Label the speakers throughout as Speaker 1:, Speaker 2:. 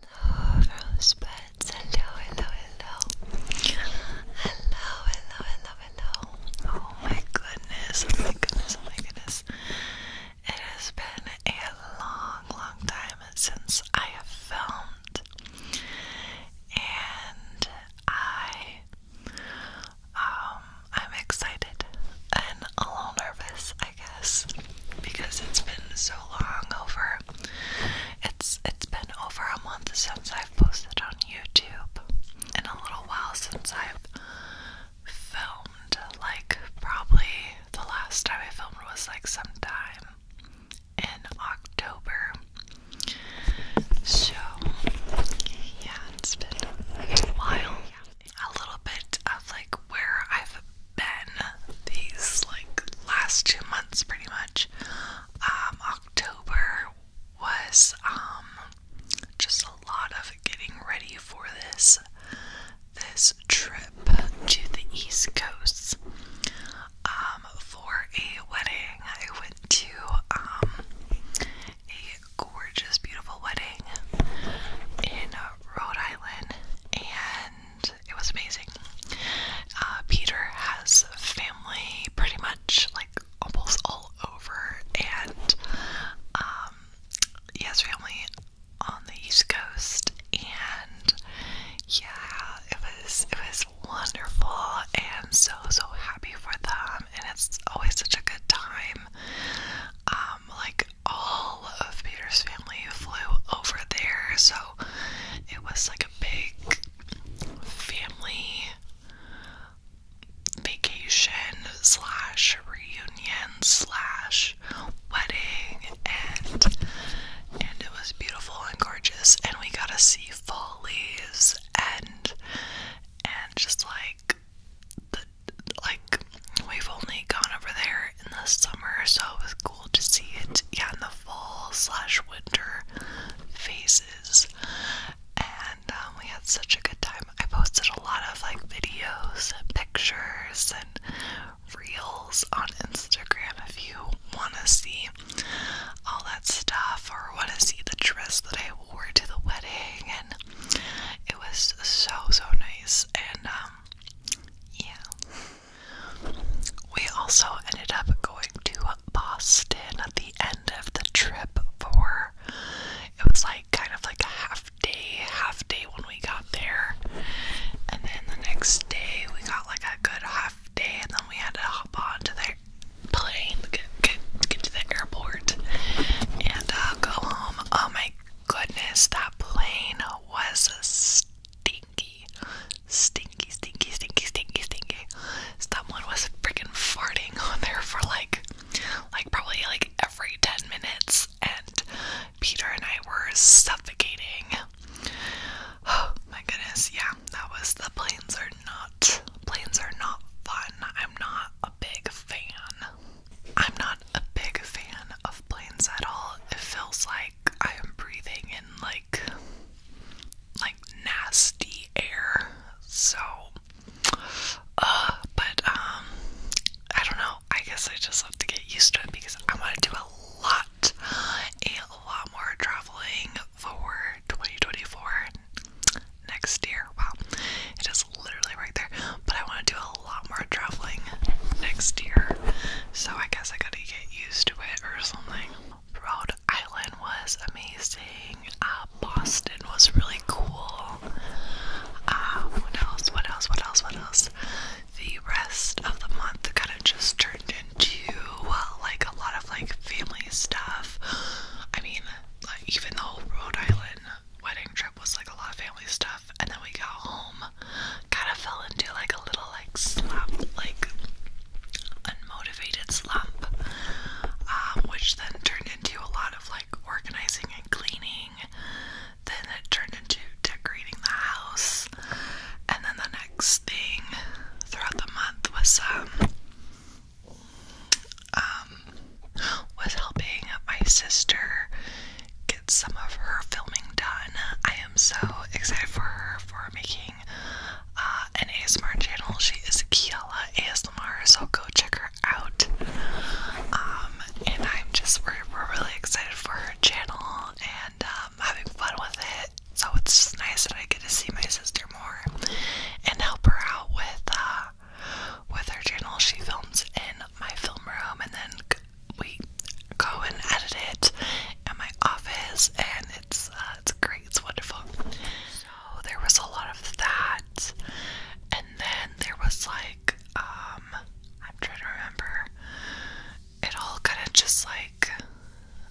Speaker 1: Hello, rosebuds. hello, hello. Hello, hello, hello, hello. Oh my goodness, oh my goodness, oh my goodness. It has been a long, long time since I have filmed. And I um I'm excited and a little nervous I guess, because it's been so long over. It's it's been over a month since I've posted on YouTube, and a little while since I've filmed. Like probably the last time I filmed was like sometime in October. So yeah, it's been a while. A little bit of like where I've been these like last two months pretty much. Um, October was um, just a lot of getting ready for this this trip to the East Coast. Um, for a wedding, I went to a gorgeous, beautiful wedding in Rhode Island, and it was amazing. Uh, Peter has family pretty much like almost all over, and yes, um, he has family on the East Coast, and yeah, it was it was wonderful, and so so happy for them, and it's always such a good time. Um, um, like all of Peter's family flew over there, so it was like a big family vacation slash reunion slash wedding and and it was beautiful and gorgeous and we got to see fall leaves and and just like like we've only gone over there in the summer, so it was cool to see it. Yeah, in the fall slash winter phases, and um, we had such a good time. I posted a lot of like videos and pictures and reels on Instagram if you want to see all that stuff or want to see the dress that I wore to the wedding and it was so so nice and um, yeah. We also ended up going to Boston at the end of the trip for it was like kind of like a half day, half day when we got there. And then the next day we got like a good half day and then we had to hop on to the plane, get, get, to the airport and uh, go home. Oh my goodness, that plane was a stinky. Stinky, stinky, stinky, stinky, stinky. Someone was freaking farting on there for like, like probably like every 10 minutes, and Peter and I were suffocating. Oh my goodness, yeah, that was the planes are not, planes are not fun. I'm not a big fan. I'm not a big fan of planes at all. It feels like I am breathing in like like nasty air. So uh but um I don't know. I guess I just have to get used to it because I want to do a lot a lot more traveling for 2024 next year. Wow. It is literally right there. But I want to do a lot more traveling next year, so I guess I gotta get used to it or something. Rhode Island was amazing. Uh, Boston was really cool. Uh, what else? What else? What else? What else? The rest of the month kind of just turned into uh, like a lot of like family stuff. I mean, even the whole Rhode Island wedding trip was like a lot of family stuff and then we got home kind of fell into like a little like slump like unmotivated slump um, which then turned into a lot of like organizing and cleaning then it turned into decorating the house and then the next thing throughout the month was um, um was helping my sister get some of her filming done. I am so excited for her for making uh, an ASMR channel. She is Kiala ASMR, so go check her out. Um, and I'm just we're, really excited for her channel and um, having fun with it. So it's just nice that I get to see my sister more and help her out with uh, with her channel. She films in my film room, and then we go and edit it in my office, and it's uh, it's great. It's wonderful. So there was a lot of that, and then there was like um, I'm trying to remember. It all kind of just like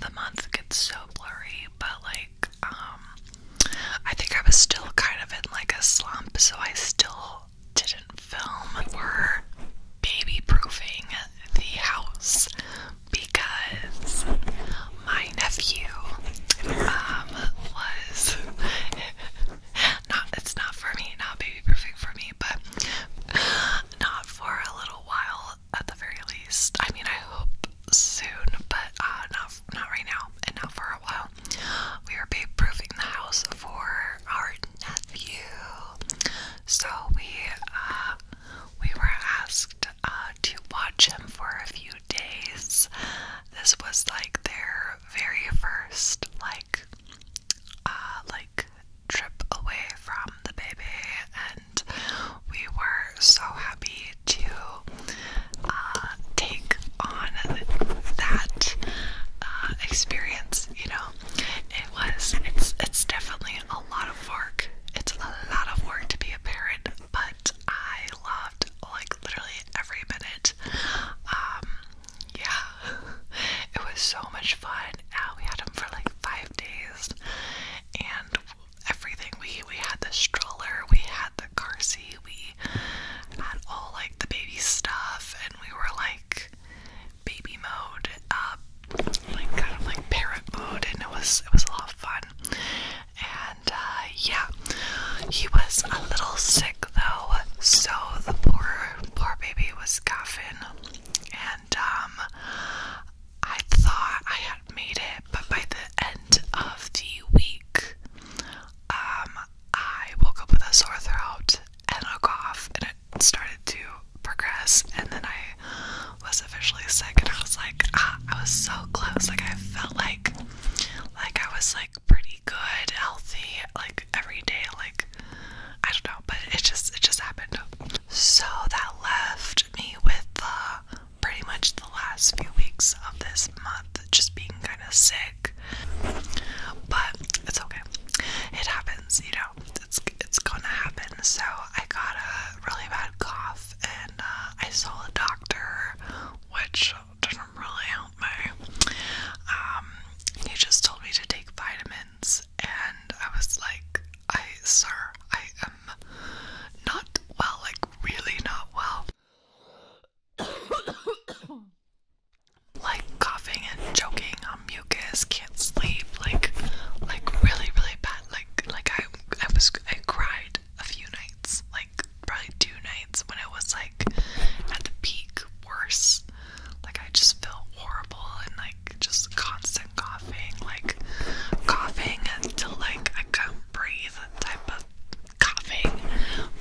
Speaker 1: the month gets so blurry, but like um, I think I was still kind of in like a slump, so I still didn't film were baby proofing the house because my nephew um was not it's not for me, not baby perfect for me, but not for a little while at the very least. I mean I hope soon, but uh, not not right now and not for a while we were baby proofing the house for our nephew. So we uh, we were asked uh, to watch him for a few days. This was like their very first like uh, like trip away from the baby, and we were so happy to uh, take on that uh, experience. You know, it was. It's it's definitely a lot of work. It's a lot of work to be a parent, but I loved like literally every minute. Um, yeah, it was so much fun. we had him for like five days, and everything we we had the stroller, we had the Carsey, We had all like the baby stuff and we were like baby mode, um, like kind of like parent mode and it was it was a lot of fun. And uh, yeah. He was a little sick though, so the poor poor baby was coughing and um I thought I had made it, but by the end of the week, um, I woke up with a sore throat and a cough, and it started to progress. And then I was officially sick, and I was like, ah, I was so close. Like I felt like, like I was like pretty good, healthy, like every day. Like I don't know, but it just it just happened. So that left me with uh, pretty much the last few weeks of this month just being kind of sick but it's okay. It happens, you know. It's it's gonna happen. So I got a really bad cough, and uh, I saw a doctor, which didn't really help me. Um, he just told me to take vitamins, and I was like, "I, sir, I am not well. Like, really not well." like coughing and choking on mucus, can't sleep, like like really really bad. Like like I I was I cried a few nights, like probably two nights when I was like at the peak worse. Like I just felt horrible and like just constant coughing, like coughing until like I couldn't breathe type of coughing.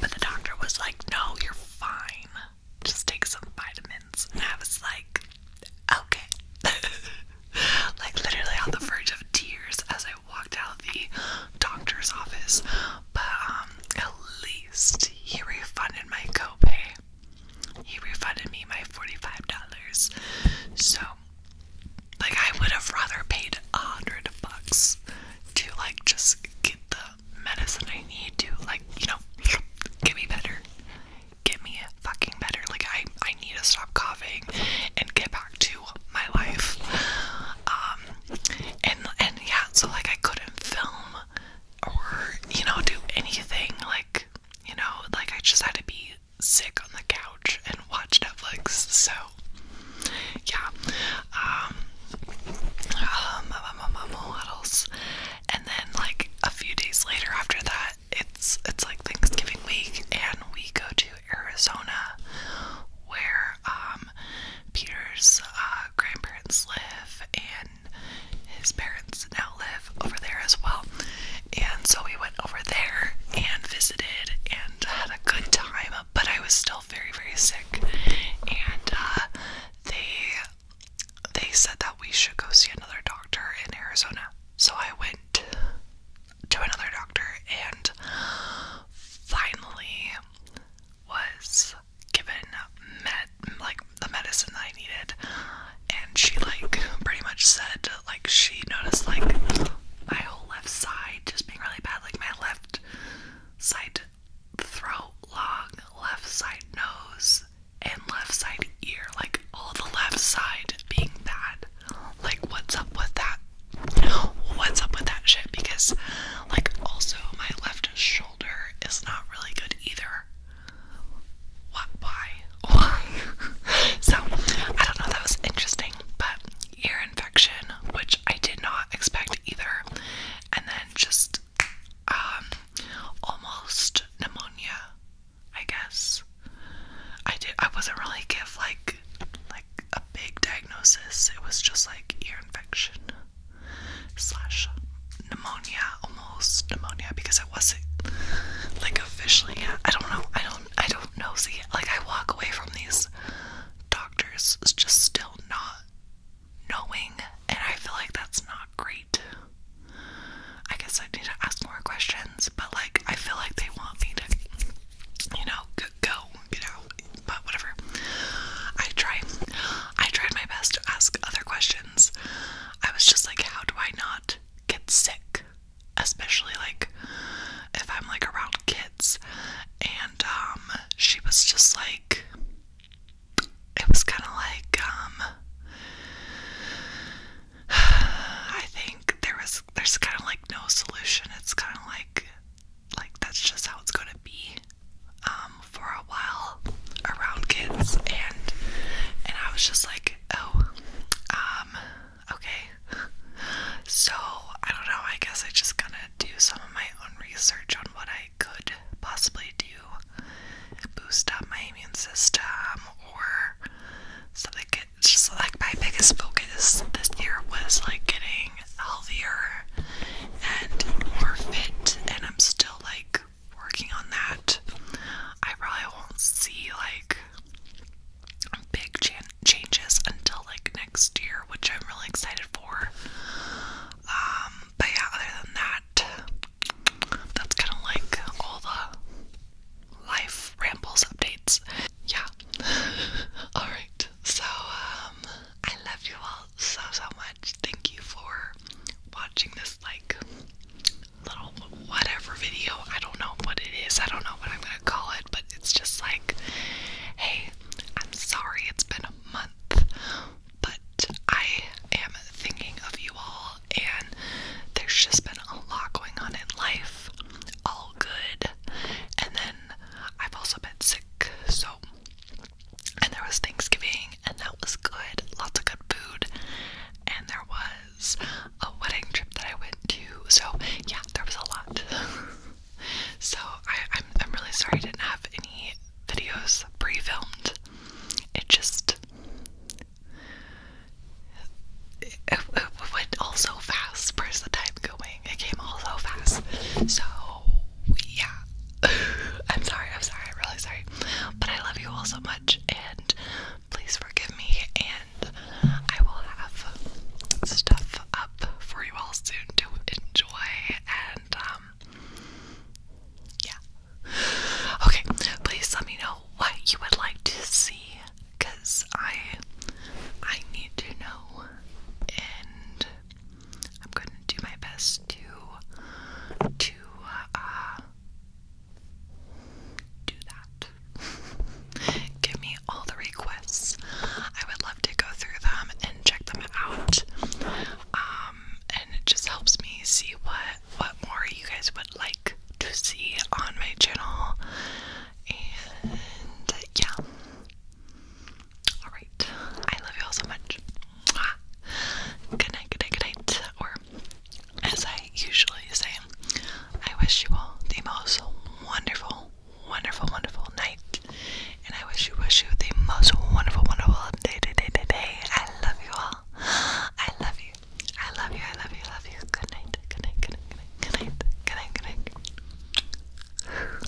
Speaker 1: But the doctor was like, No, you're fine. Just take some vitamins. And I was like, Okay. like, literally on the verge of tears as I walked out of the doctor's office. But um, at least he refunded my copay. He refunded me my $45. So like I would have rather paid a hundred bucks to like just get the medicine I need to like, you know, get me better. Get me fucking better. Like I I need to stop coughing and get back to my life. Um and and yeah, so like I couldn't film or, you know, do anything like you know, like I just had to be sick on the couch and watch Netflix. So yeah. Um um, um, um, um, what else? And then like a few days later after that, it's it's like Thanksgiving week, and we go to Arizona, where um, Peter's uh, grandparents live, and his parents now live over there as well. And so we went over there and visited and had a good time. But I was still very, very sick, and uh, they they said that we should go see another doctor in Arizona. So I went to another doctor and finally was given med like the medicine that I needed and she like pretty much said like she noticed like my whole left side just being really bad like my left left side throat, long left side nose, and left side ear. Like all the left side being bad. Like, what's up with that? What's up with that shit? Because, like, also my left shoulder is not really good either. What? Why? Why? so, I don't know. That was interesting, but ear infection, which I did not expect either, and then just um, almost pneumonia, I guess. I did. I wasn't really give like like a big diagnosis. It was just like ear infection slash pneumonia, almost pneumonia, because it wasn't like officially. I don't know. I don't. I don't know. See, like I walk away from these doctors just still not knowing, and I feel like that's not great. I guess I need to ask more questions, but like I feel like they want me to, you know, go get out. But whatever. I try. I tried my best to ask other questions. I was just like, how do I not get sick? especially like if I'm like around kids. And um, she was just like, it was kind of like, um, I think there was, there's kind of like no solution. It's kind of like, like that's just how it's gonna be, um, for a while around kids. And, and I was just like, oh, um, Okay. So, I don't know. I guess I just gonna do some of my own research on what I could possibly do. Boost up my immune system or something. It's just like my biggest focus this year was like getting healthier and more fit, and I'm still like working on that. I probably won't see like big changes until like next year, which I'm really excited for. Um, but yeah, other than that, that's kind of like all the life rambles updates. Yeah. all right. So, um, I love you all so so much. Thank you for watching this like little whatever video. I don't know what it is. I don't know what I'm gonna call it but it's just like, hey, I'm sorry it's been a month, but I am thinking of you all, and there's just been a lot going on in life. All good. And then I've also been sick, so. And there was Thanksgiving, and that was good. Lots of good food. And there was a wedding trip that I went to. So yeah, there was a lot. so I, am I'm really sorry I didn't have any videos pre-filmed. It just it went all so fast. Where's the time going? It came all so fast. So yeah. I'm sorry, I'm sorry, I'm really sorry. But I love you all so much, and please forgive me, and I will have stuff up for you all soon to enjoy. And, um, yeah. Okay, please let me know what you would like to see, cause I, I need to know, and I'm gonna do my best to, to, uh, do that. Give me all the requests. I would love to go through them and check them out. Um, and it just helps me see what what more you guys would like to see on my channel. And yeah. Alright. I love you all so much. Good night, good night, good night. Or as I I usually I wish you all the most wonderful, wonderful, wonderful night. And I wish you wish you the most wonderful, wonderful day, day, day, day, I love you all. I love you. I love you. I love you. love you. Good night. Good night. Good night. Good night. Good night. Good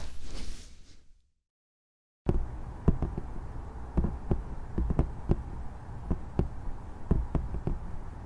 Speaker 1: night.